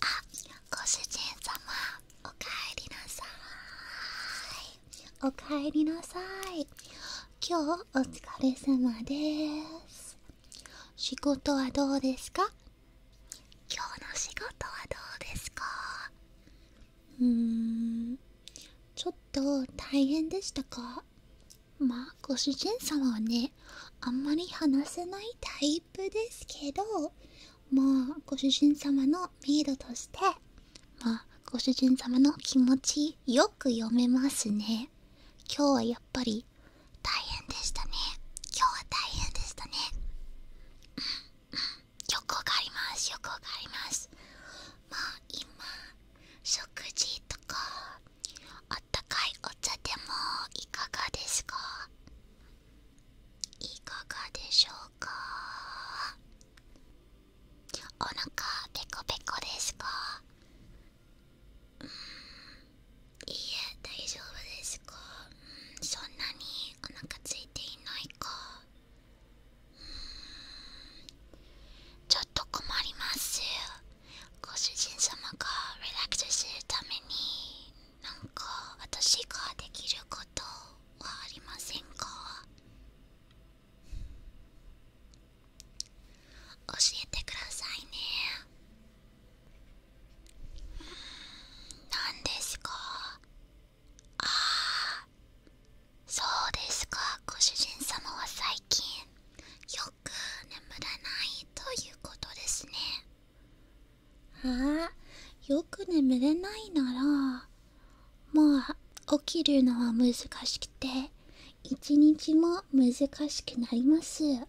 あご主人様おかえりなさいおかえりなさい今日お疲れ様です仕事はどうですか今日の仕事はどうですかうーんちょっと大変でしたかまあご主人様はねあんまり話せないタイプですけどまあご主人様のメイドとしてまあご主人様の気持ちよく読めますね今日はやっぱり大変でしたね今日は大変でしたねうんうんよくわかります欲くわかりますまあ今食事とかあったかいお茶でもいかがですかいかがでしょうかお腹ペコペコですかうんいいえ大丈夫ですかうんそんなにお腹ついていないかちょっと困りますご主人様がリラックスするためになんか私ができることはありませんか教えてくださいね何ですかああそうですかご主人様は最近よく眠らないということですねああよく眠れないならまあ起きるのは難しくて一日も難しくなりますまあメイ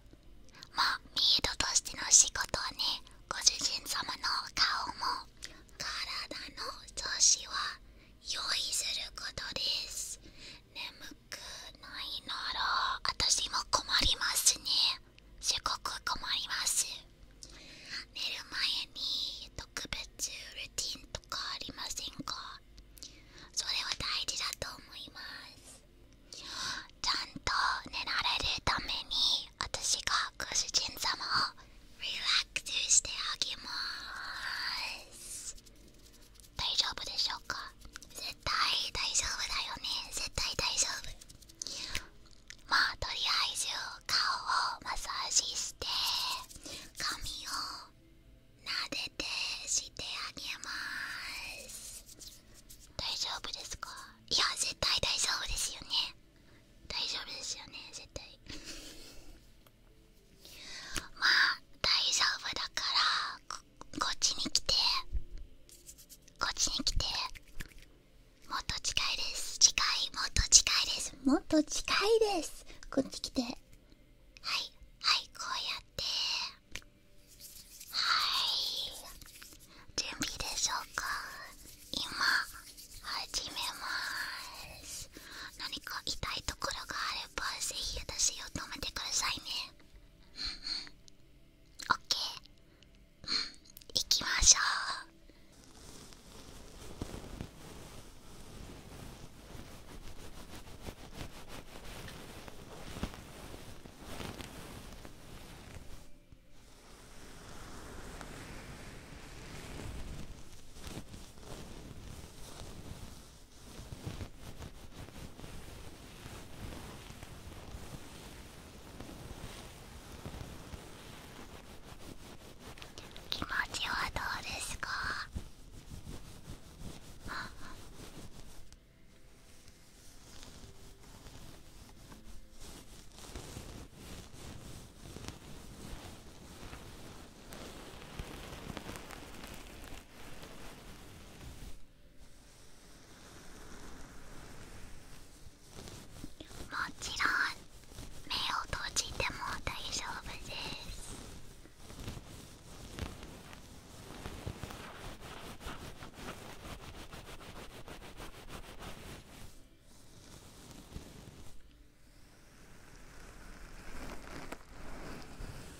ドとしての仕事はねご主人様の顔も体の調子は用意することです眠くないなら私も困りますねすごく困ります寝る前に特別ルーティンとかありませんかそれは大事だと思いますちゃんと寝られるために私がご主人様をリラックスしてあげます大丈夫でしょうか絶対大丈夫だよね絶対大丈夫まあとりあえず顔をマッサージして髪を撫でてしてあげます大丈夫ですかいや絶対大丈夫ですよね大丈夫ですよね絶対 まあ大丈夫だからここっちに来てこっちに来てもっと近いです近いもっと近いですもっと近いですこっち来てはいはいこうやってはい準備でしょうか今始めます何か痛いところがあればぜひ私を止めてくださいねオッケー行きましょう気持ちはどうですか もちろん目を閉じても大丈夫です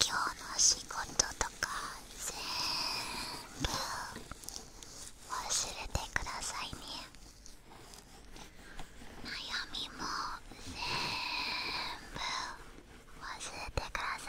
今日の仕事とか全部忘れてくださいね悩みも全部忘れてください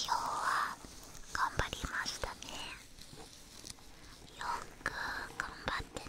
今日は頑張りましたねよく頑張ってね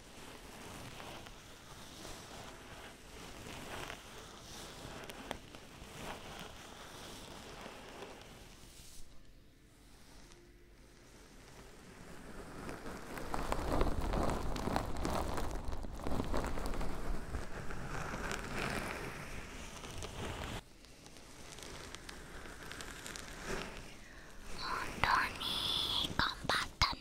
本当に頑張ったね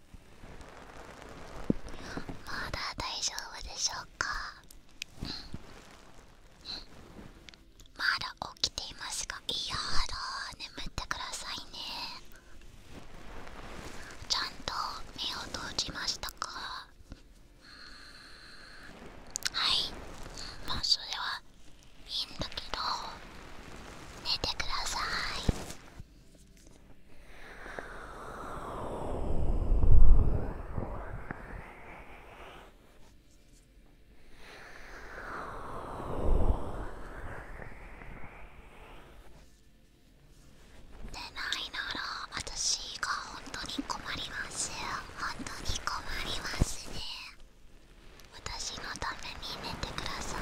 まだ大丈夫でしょうかまだ起きていますがいやだ眠ってくださいねちゃんと目を閉じましたかはいまあそれはいいんだけど寝てくださいでないなら私が本当に困ります本当に困りますね私のために寝てください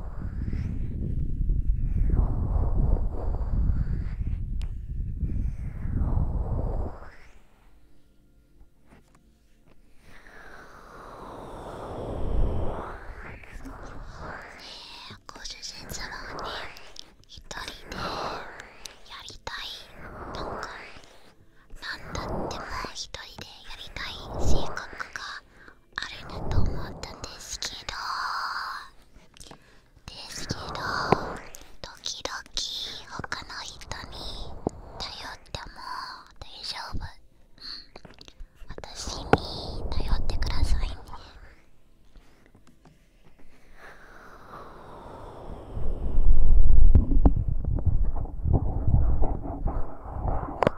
ねえ、ご主人様ね、一人でやりたいとか何だっても一人でやりたい性格があるなと思ったんですけどですけど時々他の人に頼っても大丈夫、うん、私に頼ってくださいね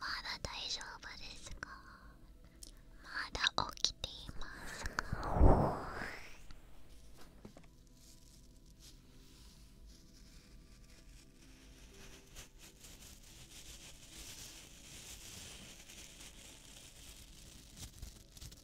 まだ大丈夫ですかまだ起きていますか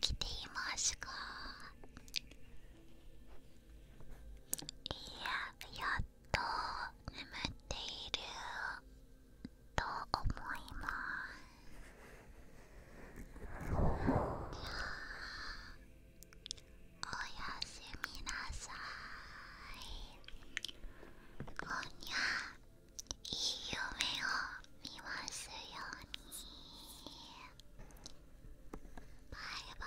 起きていますかや、やっと眠っていると思いますゃあおやすみなさい今夜いい夢を見ますようにバイバイ